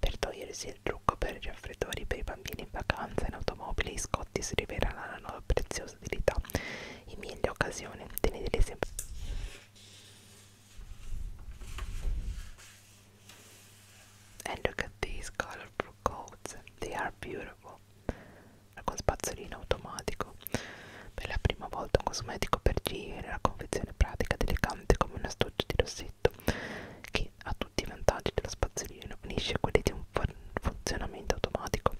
Per togliersi il trucco per i raffreddori per i bambini in vacanza in automobile, i scotti si riveleranno una nuova preziosa utilità in mille occasioni. Teneteli sempre. And look at these colorful coats, they are beautiful. Con spazzolino automatico. Per la prima volta un cosmetico per G, la confezione pratica ed elegante come un astuccio di rossetto che che ha tutti i vantaggi della spazzolina unisce quelli di un funzionamento automatico.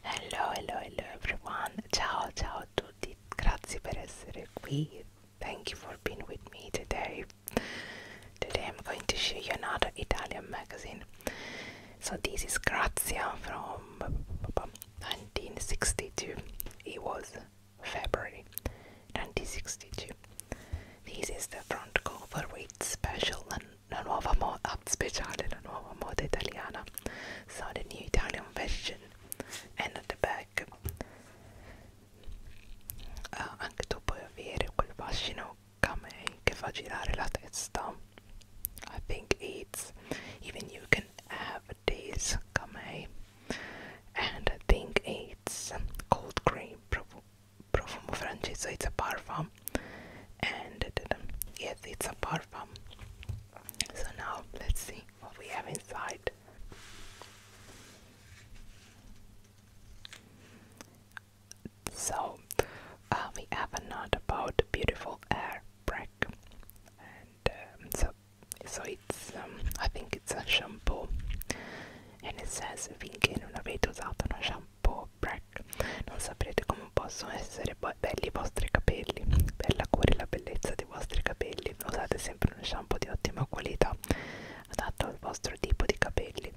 Hello, hello, hello everyone. Ciao, ciao a tutti. Grazie per essere qui. Thank you for being with me today. Today I'm going to show you another Italian magazine. So this is Grazia from 1962. It was February 1962. This is the front cover with special la nuova moda ah, speciale, la nuova moda italiana. So the new Italian version. And at the back, uh, anche tu puoi avere quel fascino Kamei che fa girare la testa. I think it's even you can have this Kamei. And I think it's cold cream profumo francese, it's a parfum. And yes, it's a parfum. So now let's see what we have inside. So uh, we have a note about beautiful air break, and um, so so it's um, I think it's a shampoo, and it says finché non avete usato uno shampoo break, non saprete come possono essere belli i vostri capelli. Per la cura e la bellezza dei vostri capelli usate sempre uno shampoo di ottima qualità adatto al vostro tipo di capelli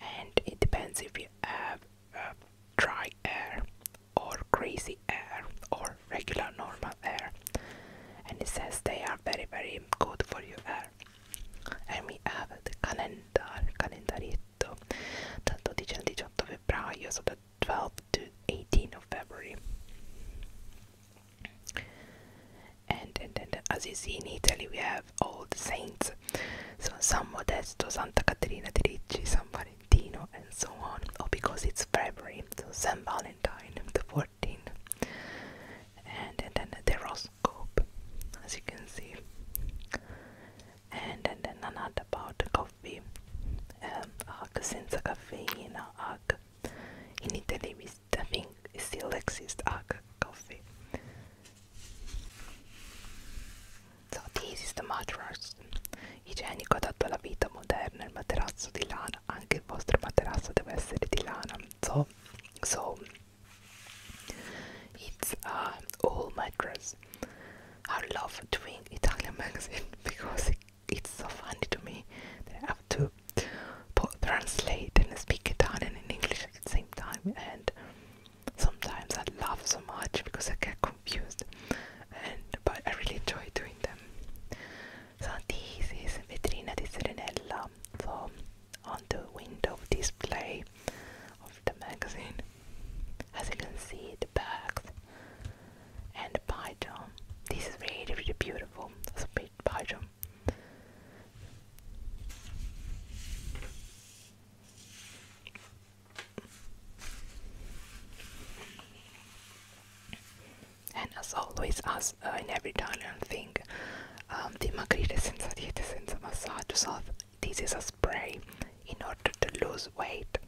and it depends if you have uh, dry air or crazy air or regular normal air and it says they are very very good for your air and we have the calendar calendaretto dal 12 al 18 febbraio so the 12 to 18 of February and, and, and as you see in Italy we have have old saints. So San Modesto, Santa Caterina di Ricci, San Valentino, and so on. Or oh, because it's February, so San Valentino, the 14th. And, and then the horoscope, as you can see. And, then another about coffee. Um, arc senza caffeina, arc. In Italy, we, I think it still exists arc coffee. So this is the mattress. Igienico adatto alla vita moderna, il materasso di lana, anche il vostro materasso deve essere di lana. So, so it's a whole mattress. I love doing Italian magazine because it's so funny to me that I have to translate and speak Italian and English at the same time and sometimes I laugh so much because I get confused and but I really enjoy doing them. So this is vitrina di Serenella, so on the window display of the magazine. As you can see the bags and the python. This is really really beautiful. It's a big python. And as always, as uh, in every Italian thing, um, the Magrite senza dieta senza massage salve, this is a spray in order to lose weight.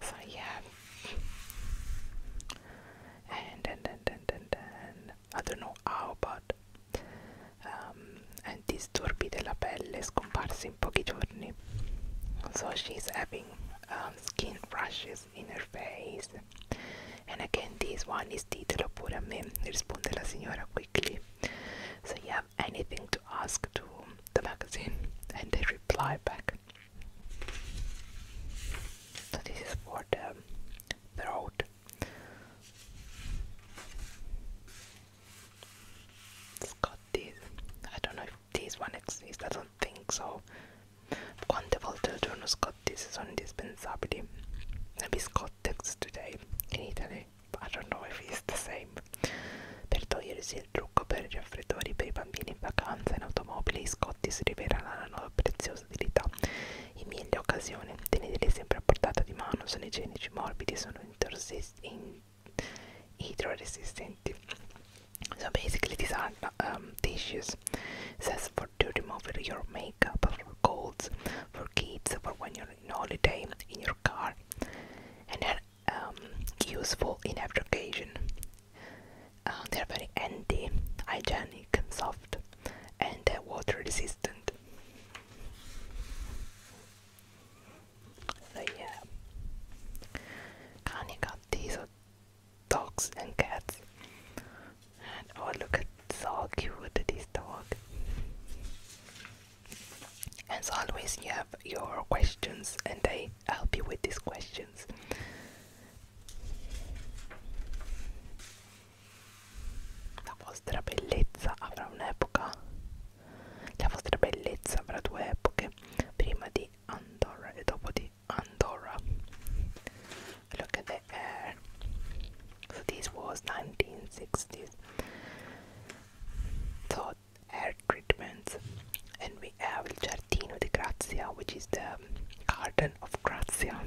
So yeah. And then, then, then, then, I don't know how, but um, ehm, and disturbi della pelle scomparsi in pochi giorni. So she's having ehm, skin rashes in her face. And again, this one is titolo pure a me, risponde la signora quickly. So you have anything to ask to the magazine? And they reply back. So this is for the throat. Scotties. I don't know if this one exists, I don't think so. Quante volte al giorno Scotty si sono indispensabili? Maybe Scottex today in Italy. I don't know if it's the same. Per togliersi il trucco per i raffreddori per i bambini in vacanza in automobile, i scotti si riveleranno una preziosa utilità in mille occasioni. Teneteli sempre a portata di mano, sono igienici, morbidi, sono sono hydro-resistant. So basically these are um, tissues. dishes says for to remove your makeup, for colds, for kids, for when you're in holiday, in your car and they are um, useful in every occasion. Uh, they're very anti, hygienic, soft and uh, water resistant. So yeah, Connie got these dogs and cats. And oh look at so cute this dog. As always, you have your questions, and they help you with these questions. La vostra bellezza avrà un'epoca La vostra bellezza avrà due epoche, Andorra e dopo Andorra. Look at the this was 1960s. So air treatments. And we have the Giardino di Grazia, which is the garden of Grazia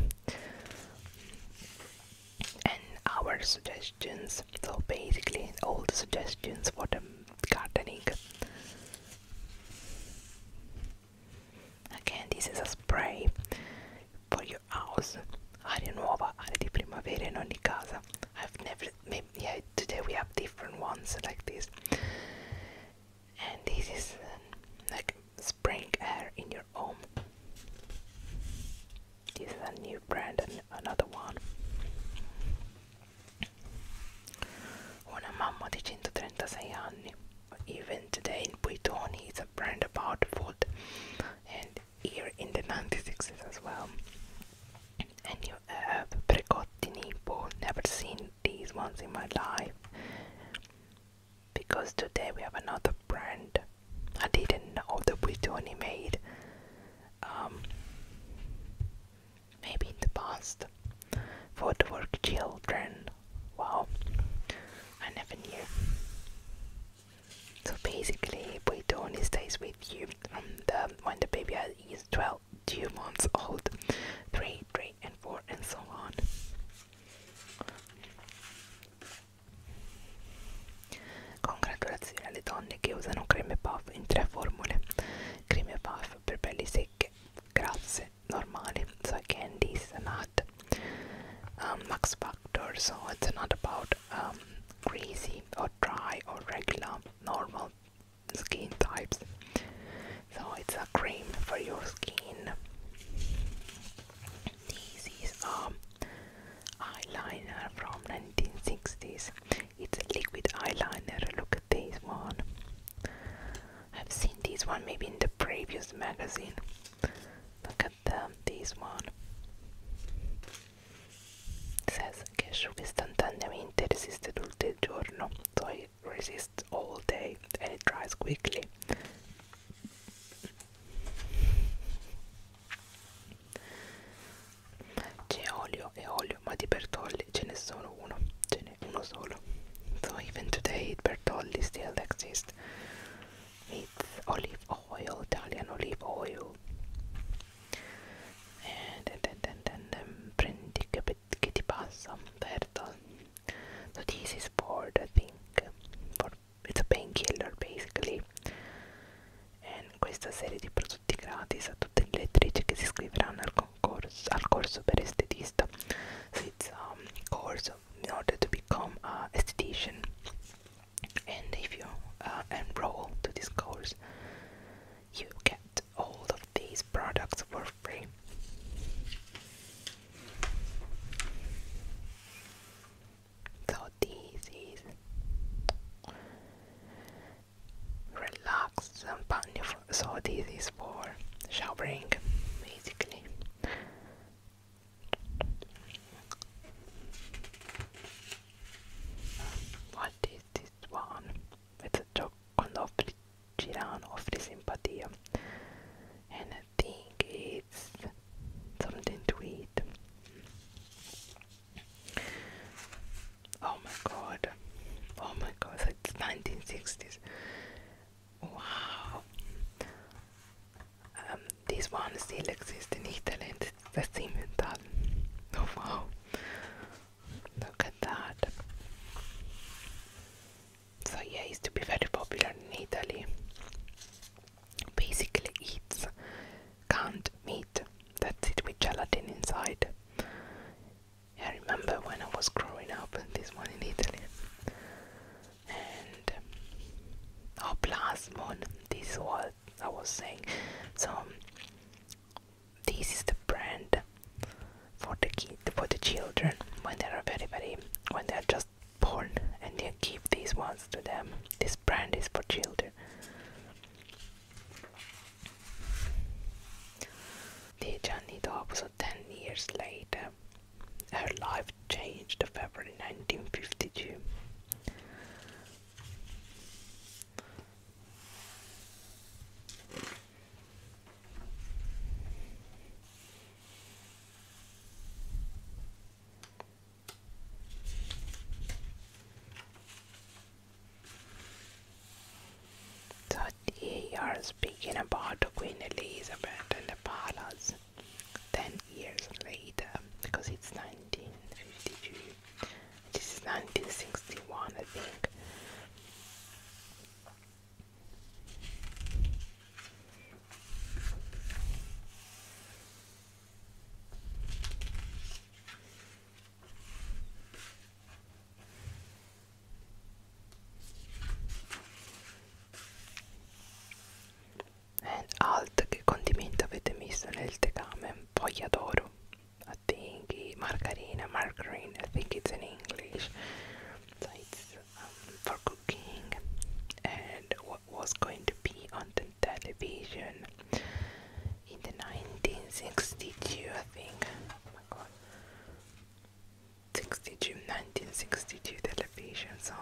and our suggestions so basically all the suggestions for the gardening again this is a spray for your house aria nuova aria di primavera in ogni casa i've never maybe yeah today we have different ones like this and this is um, like spring air in your home this is a new brand and another one. Una mamma di 136 anni. Even today in Buitoni it's a brand about food and here in the 96s as well. And you have Precotti Nippo, never seen these ones in my life. Because today we have another brand I didn't know that we do animate. Um, maybe in the past for the work children. Wow, I never knew. So basically, we Buitoni stays with you from um, the when the baby is 12, 2 months old, 3, 3, and 4, and so on. Congratulazioni alle donne che usano creme puff in tre formule creme puff per pelli secche, grasse, normali, so candy is not um, max factor so it's not about um, greasy or dry or regular normal skin types so it's a cream for your skin these is um eyeliner from 1960s. It's a liquid eyeliner. Look at this one. I've seen this one maybe in the previous magazine. Look at them, this one. Says che istantaneamente, resiste tutto il giorno. So it resists all day and it dries quickly. c'è olio e olio ma di Bertolli ce n'è solo uno ce n'è uno solo so even today Bertolli still exists it's olive oil Italian olive oil and, and, and, and, and um, prendi che, che ti passa Bertolli so this is for I think for, it's a painkiller basically questa serie di prodotti gratis a tutte le lettrici che si iscriveranno al, concorso, al corso per estetista It's a um, course in order to become an esthetician and if you uh, enroll to this course you get all of these products for free So this is relax and panty. So this is for showering, basically. What is this one? It's a Giocondo Girano offre simpatia. And I think it's something to eat. Oh my god. Oh my god, it's 1960s. Wow. Um, these ones still exist in Italy and the Simmental. Oh wow. Look at that. So yeah, it used to be very popular in Italy. Basically, it's canned meat that's it with gelatin inside. I remember when I was growing up, this one in Italy. And uh, oh, plasmon. This was I was saying. So this is the brand for the kid, for the children when they are very, very when they are just born, and they give these ones to them. This brand is for children. The Johnny Dog also 10 years later. Her life changed February 1952. So Thirty are speaking about Queen Elizabeth and the palace. Ten years later, because it's 1952, this is 1961, I think alt che condimento avete messo nel tegame poi adoro I think margarina margarine I think it's in English it's um, for cooking and what was going to be on the television in the 1962, I think. Oh 1962 television. So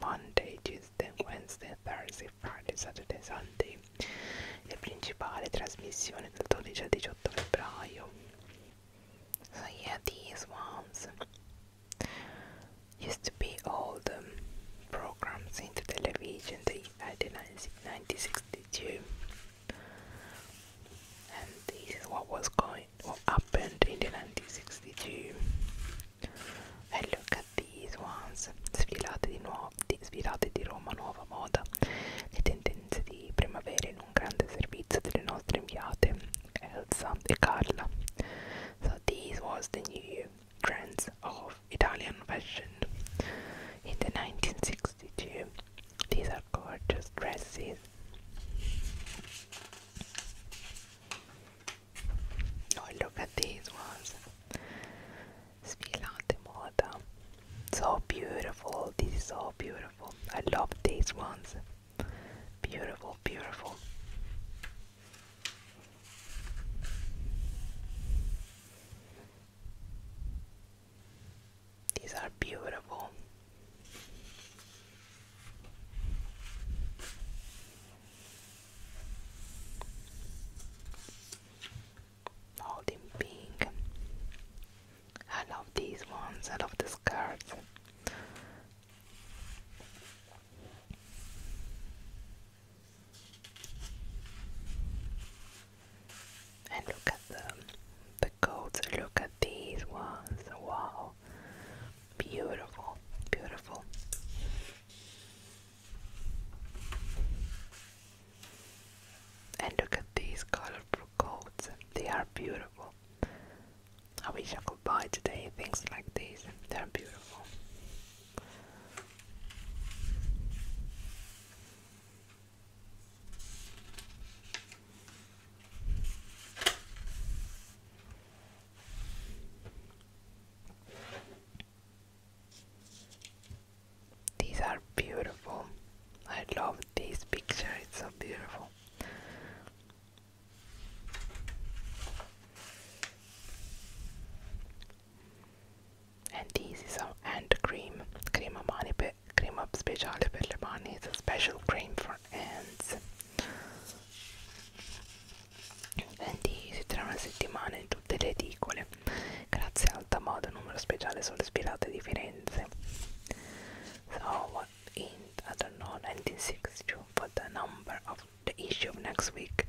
Monday, Tuesday, Wednesday, Thursday, Friday, Saturday, Sunday. Le principali trasmissioni del 12 al 18 febbraio. So yeah, these ones used to be all the programs in the television. They had the 96 1962 and this is what was going what happened in the 1962 and look at sfilate di, nuovo, sfilate di Roma nuova moda le tendenze di primavera in un grande servizio delle nostre inviate Elsa e Carla so these was the new trends of Italian fashion. In the 1962, these are gorgeous dresses. Oh, look at these ones. Sfilate moda. So beautiful. This is so beautiful. I love these ones. Beautiful, beautiful. These are beautiful. All pink. I love these ones. I love the cards. And look at them, the coats. Look at these ones. Wow, beautiful, beautiful. And look at these colorful coats. They are beautiful. I wish I could buy today things like these. They're beautiful. These are beautiful. I love this picture, it's so beautiful. And these is our ant cream. Crema mani pe crema speciale per le mani is a special cream for ants. And these si trovano una settimana in tutte le edicole, grazie al Tamodo numero speciale sulle spirate di Firenze. So in I don't know 1962 but the number of the issue of next week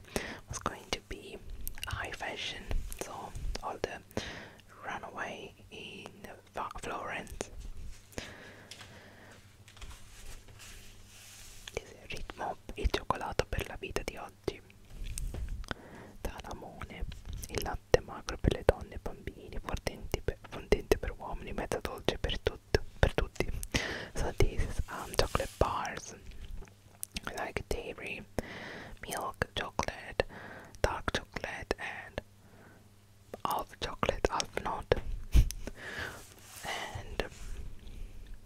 was going to be high fashion so all the ran away in Florence. Ritmo e cioccolato per la vita di oggi. Talamone, il latte magro per le donne e bambini, fondente per, fondente per uomini, mezza dolce per, tut, per tutti. So this um, chocolate bars like dairy, milk, chocolate, dark chocolate, and all the chocolate, half not. and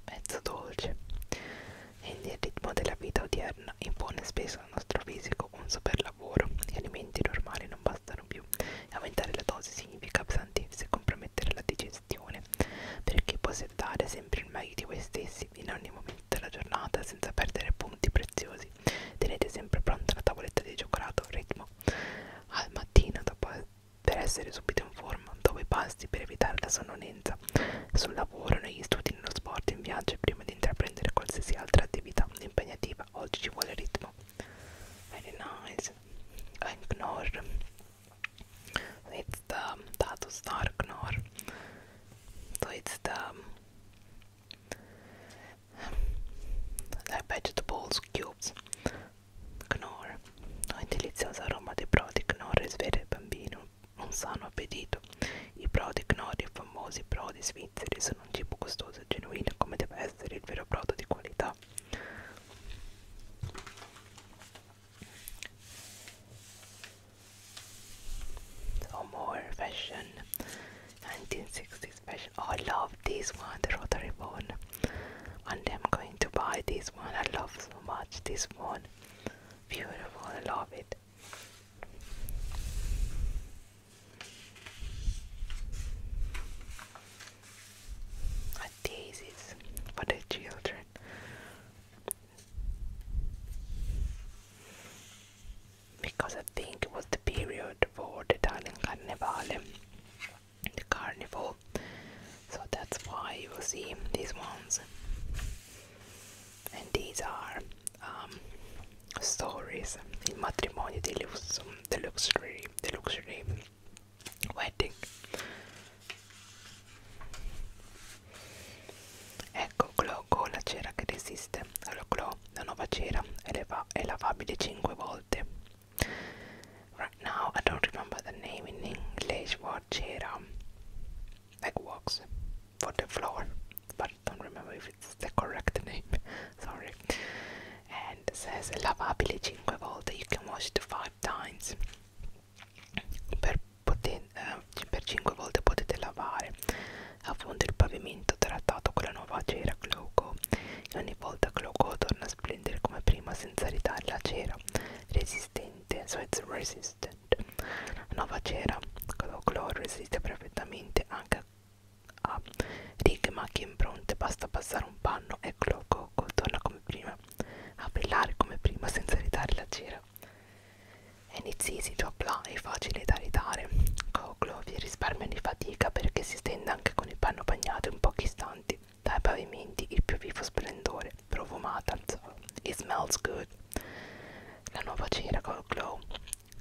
mezzo dolce. Quindi il ritmo della vita odierna impone spesso al nostro fisico un super lavoro. Gli alimenti normali non bastano più. Aumentare la dose significa appesantirsi e compromettere la digestione. Perché possa dare sempre il meglio di voi stessi accessibili in ogni momento della giornata senza perdere punti preziosi. Tenete sempre pronta la tavoletta di cioccolato ritmo al mattino dopo, per essere subito in forma, dopo i pasti per evitare la sonnolenza, sul lavoro, negli studi, nello sport, in viaggio e prima di intraprendere qualsiasi altra attività impegnativa. Oggi ci vuole ritmo. Very nice. Ignore. It's the Dato Star Ignore. So it's the dai Badget Balls Cubes Knorr Un delizioso aroma dei prodi Knorr risveglia il bambino un sano appetito I prodi Knorr, i famosi prodi svizzeri Sono un cibo costoso e genuino come deve essere il vero brodo di qualità So more fashion, 1960s fashion. Oh, I love this one, the rotary phone. And I'm going to buy this one. I love so much this one. Beautiful, I love it. A daisies for the children because I think it was the period for the Italian Carnivale, the carnival. So that's why you will see these ones. And these are um, stories in matrimonio di lusso, the luxury, the luxury wedding. Ecco, Clo con la cera che resiste. Allora, Clo, la nuova cera è lavabile 5 volte. Right now, I don't remember the name in English for cera. Like wax for the floor, but don't remember if it's the correct name. Sorry. And says lavabile 5 volte. You can wash it 5 times. Per poter eh, per 5 volte potete lavare a fondo il pavimento trattato con la nuova cera Gloco e ogni volta Gloco torna a splendere come prima senza ritare la cera resistente, so it's resistant la nuova cera Gloco resiste perfettamente anche a righe macchie impronte basta passare un panno e Gloco torna come prima a brillare come prima senza ritare la cera And it's easy to apply, è facile da ridare. Coclo vi risparmia di fatica perché si stende anche con il panno bagnato in pochi istanti. Dai pavimenti il più vivo splendore, profumata, it smells good. La nuova cera col glow,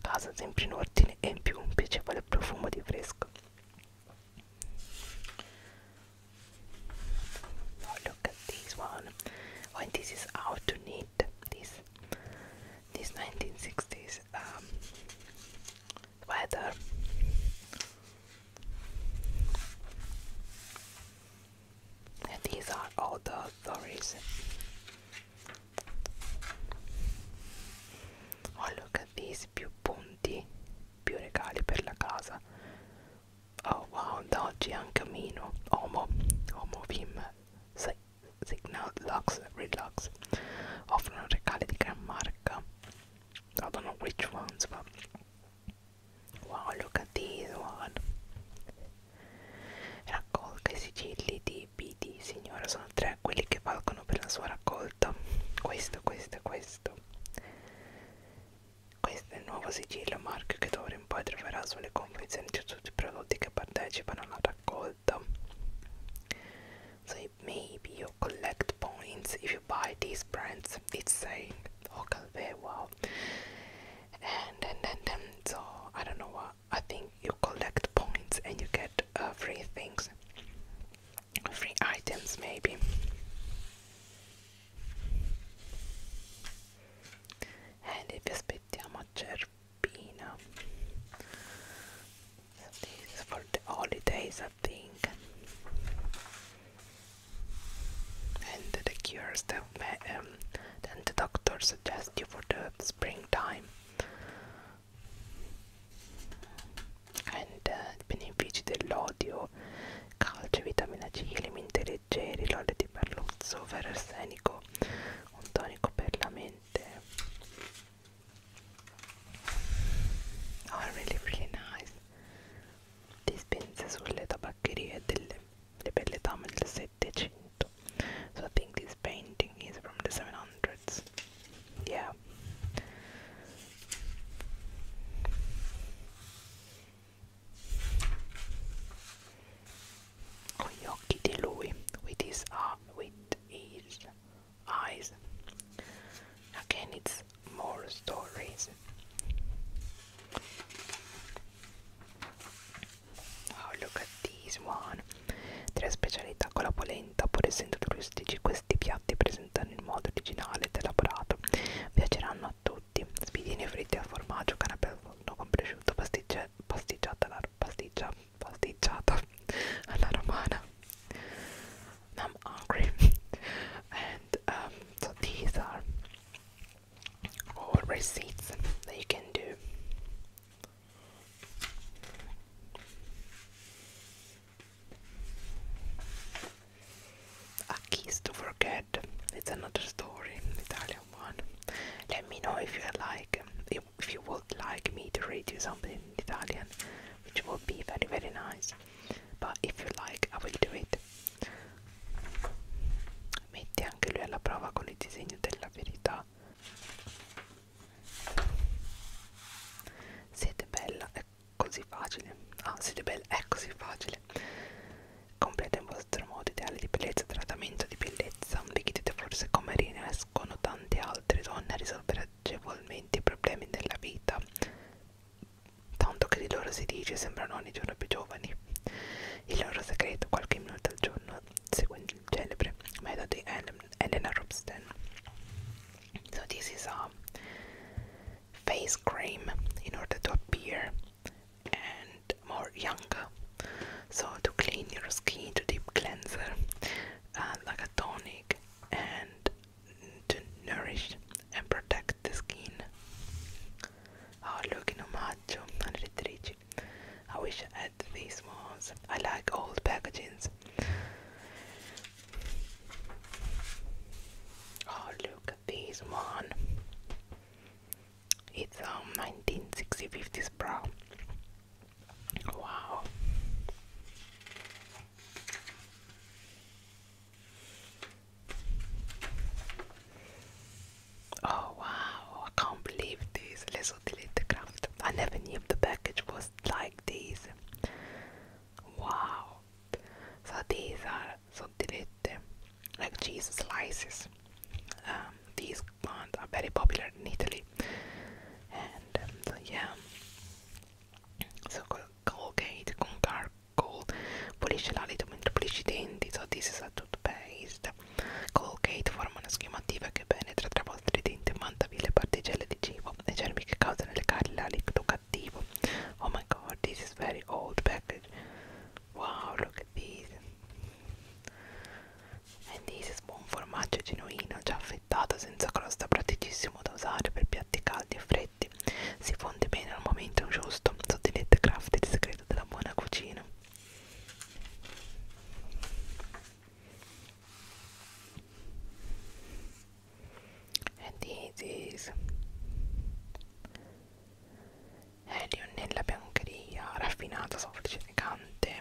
casa sempre in ordine e in più un piacevole profumo di fresco. Oh, look at this one. When this is out to These, this 1960s um, weather. these are all the stories. Oh look at these, più punti, più regali per la casa. Oh wow, da oggi è un Homo, Homo Signal Lux Redlux offrono regali di gran marca. I don't know which ones, but wow, look at this one. Raccolga i sigilli di BD, signora, sono tre quelli che valgono per la sua raccolta. Questo, questo e questo. Questo è il nuovo sigillo marchio che d'ora in poi troverà sulle confezioni di tutti i prodotti che partecipano alla raccolta So maybe you collect points if you buy these brands. It's saying Hokalbe wow. And then then so I don't know what I think you collect points and you get uh, free things, free items maybe. And it is Pitya Matcher. Filipino. This for the holidays, I think. And the cures that um, then the doctor suggests you for the springtime. And uh, benefici dell'odio, calcio, vitamina C, alimenti leggeri, l'olio di perluzzo, ferro essenico, un tonico per la mente and are really really nice dispense sulle tabaccherie delle le belle dame del 700 so I think this painting is from the 700s yeah con gli occhi di lui with his, uh, with his eyes again it's more stories oh look at this one tre specialità con la polenta pur essendo turistici questi piatti presentano il modo originale ed elaborato piaceranno a tutti spiedini fritti al formaggio canapè al forno con prosciutto pasticciata alla pasticcia pasticciata alla romana. I'm hungry, and um, so these are all receipts that you can do. A kiss to forget. It's another story, Italian one. Let me know if you like if, if you would like me to read you something in Italian, which would be very, very nice. But if you like, I will do it. Mette anche lui alla prova con il disegno della verità. Siete bella, è così facile. Ah, siete bella, è così facile. Completa il vostro modo ideale di bellezza, trattamento di bellezza. Vi chiedete forse come riescono tante altre altre donne a risolvere agevolmente i problemi della vita, tanto che di loro si dice sembrano ogni giorno più giovani. Il loro segreto, qualche minuto al giorno, seguendo il celebre metodo di Elena Robsten. So this is a face cream in order to appear and more young. So to clean your skin, to deep cleanser. Uh, like a tonic and to nourish and protect the skin. Oh, look, no macho and retrici. I wish I had these ones. I like old packaging. Oh, look at this one. It's a um, 1960s 50s bra. Wow. Oh wow, I can't believe this. Let's I never knew the package was like this. Wow. So these are so delete like cheese slices. Um, these this plant very popular in Italy. And um, yeah, so Colgate con Carcoal pulisce l'alito mentre pulisce i denti, so this is a toothpaste. Colgate forma una schiuma attiva che penetra volte i denti e mantavi le particelle di cibo e germi che causano le carie l'alito cattivo. Oh my god, this is very old package. Wow, look at these. Eh, Andy's buon formaggio genuino, già affettato, senza crosta, praticissimo da usare per piatti caldi e freddi. Si fonde bene al momento giusto, sottilette craft il segreto della buona cucina. Eh, Andy's Elio eh, nella biancheria, raffinato, soffice, elegante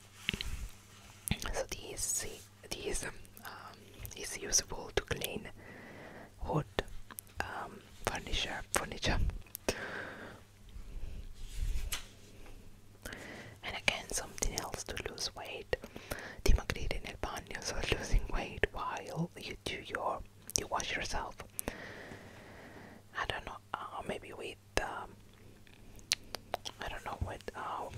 So this, this is useful to clean wood um, furniture. furniture. And again, something else to lose weight. Dimagrire the bagno, so losing weight while you do your, you wash yourself. I don't know, uh, maybe we the I don't know what oh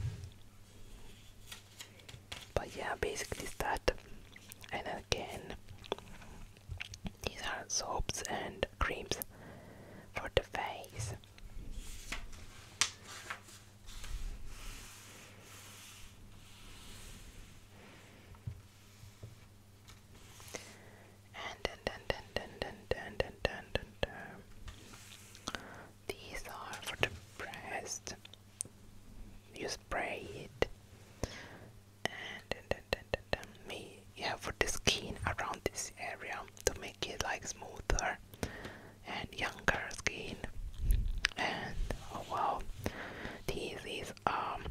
but yeah basically it's that and again these are soaps and creams for the face and dun, dun, dun, dun, dun, dun, dun, dun, These are for the breast. You spray it. And dun, dun, dun, dun, me, yeah, for the skin around this area to make it like smoother and younger skin. And oh wow, this is um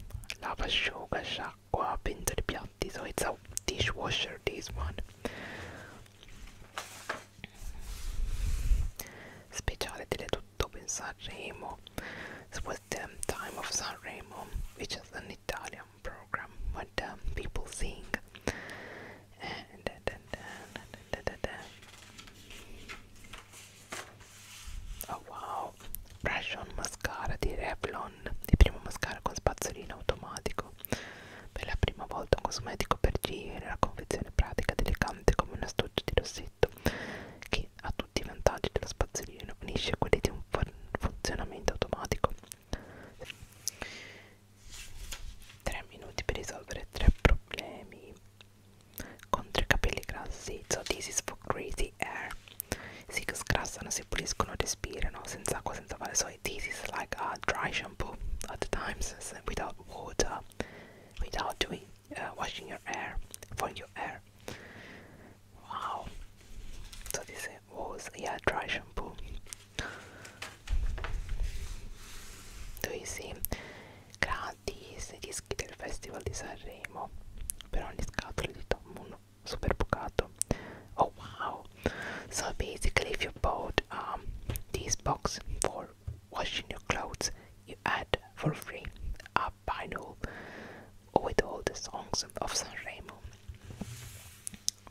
lava sugar shock acqua, pentole, piatti. So it's a dishwasher, this one. Speciale tutto per Sanremo. It was the time of Sanremo, which is an Italian program when the people sing. And da, da, da, da, da, da. Oh wow, brush on mascara di Revlon, il primo mascara con spazzolino automatico. Per la prima volta un cosmetico per giri, la confezione pratica ed elegante come un astuccio di rossetto che ha tutti i vantaggi dello spazzolino, unisce quelli di un funzionamento automatico. 3 minuti per risolvere tre problemi contro i capelli grassi. So this is for crazy hair. Si sgrassano, si puliscono, respirano senza So this is like a dry shampoo at the times without water, without doing uh, washing your hair for your hair. Wow. So this was yeah dry shampoo. Do you Gratis i del Festival di Sanremo per ogni scatola di Tom super bucato oh wow so basically if you bought um these box for washing your clothes you add for free a vinyl with all the songs of San Remo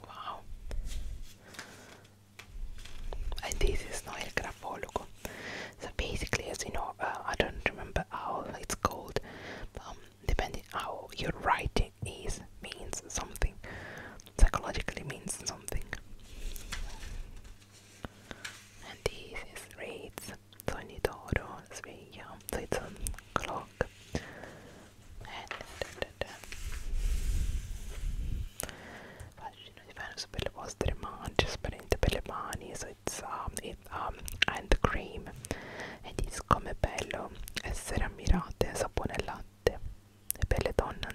wow and this is not El Grafologo so basically as you know uh, I don't remember how it's called um, depending how you're writing it is means something psychologically means something and this is reads sonidoro sveglia it's on clock and da, da, da. fascino vostre mance sparente per le mani it's um, it, um, and cream ed is come bello essere ammirate sapone e latte Le belle donne,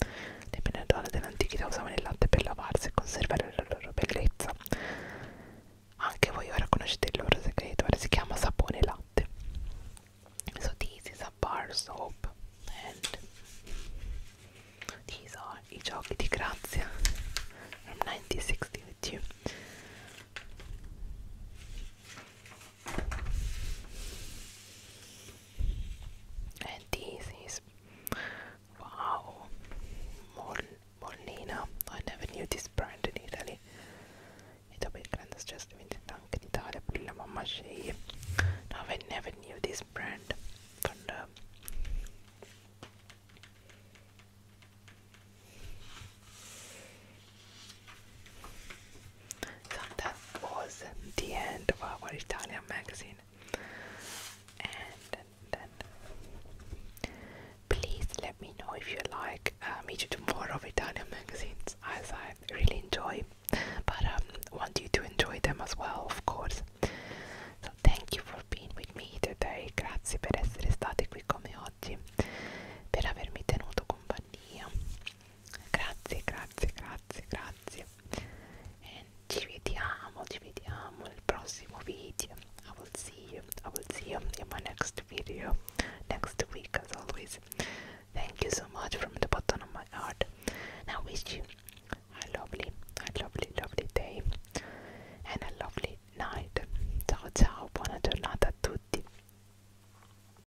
le belle donne dell'antichità usavano il latte per lavarsi e conservare la loro bellezza. Anche voi ora conoscete il loro segreto, ora si chiama sapone latte. So these is a bar soap and these are i giochi di grazia from 1962. And this is wow, Molina. I never knew this brand in Italy. E dopo il grande stress diventata anche in Italia pure la I never knew this brand. But, so that was the end of our Italian magazine. And then, please let me know if you like uh, me to do more of Italian magazines, as I really enjoy, but um, want you to enjoy them as well, of course. So thank you for being with me today. Grazie per essere stati qui con oggi, per avermi tenuto compagnia grazie grazie grazie grazie ci vediamo ci vediamo nel prossimo video I will see you I will see you in my next video next week as always thank you so much from the bottom of my heart Now wish you a lovely a lovely lovely day and a lovely night ciao ciao buona giornata a tutti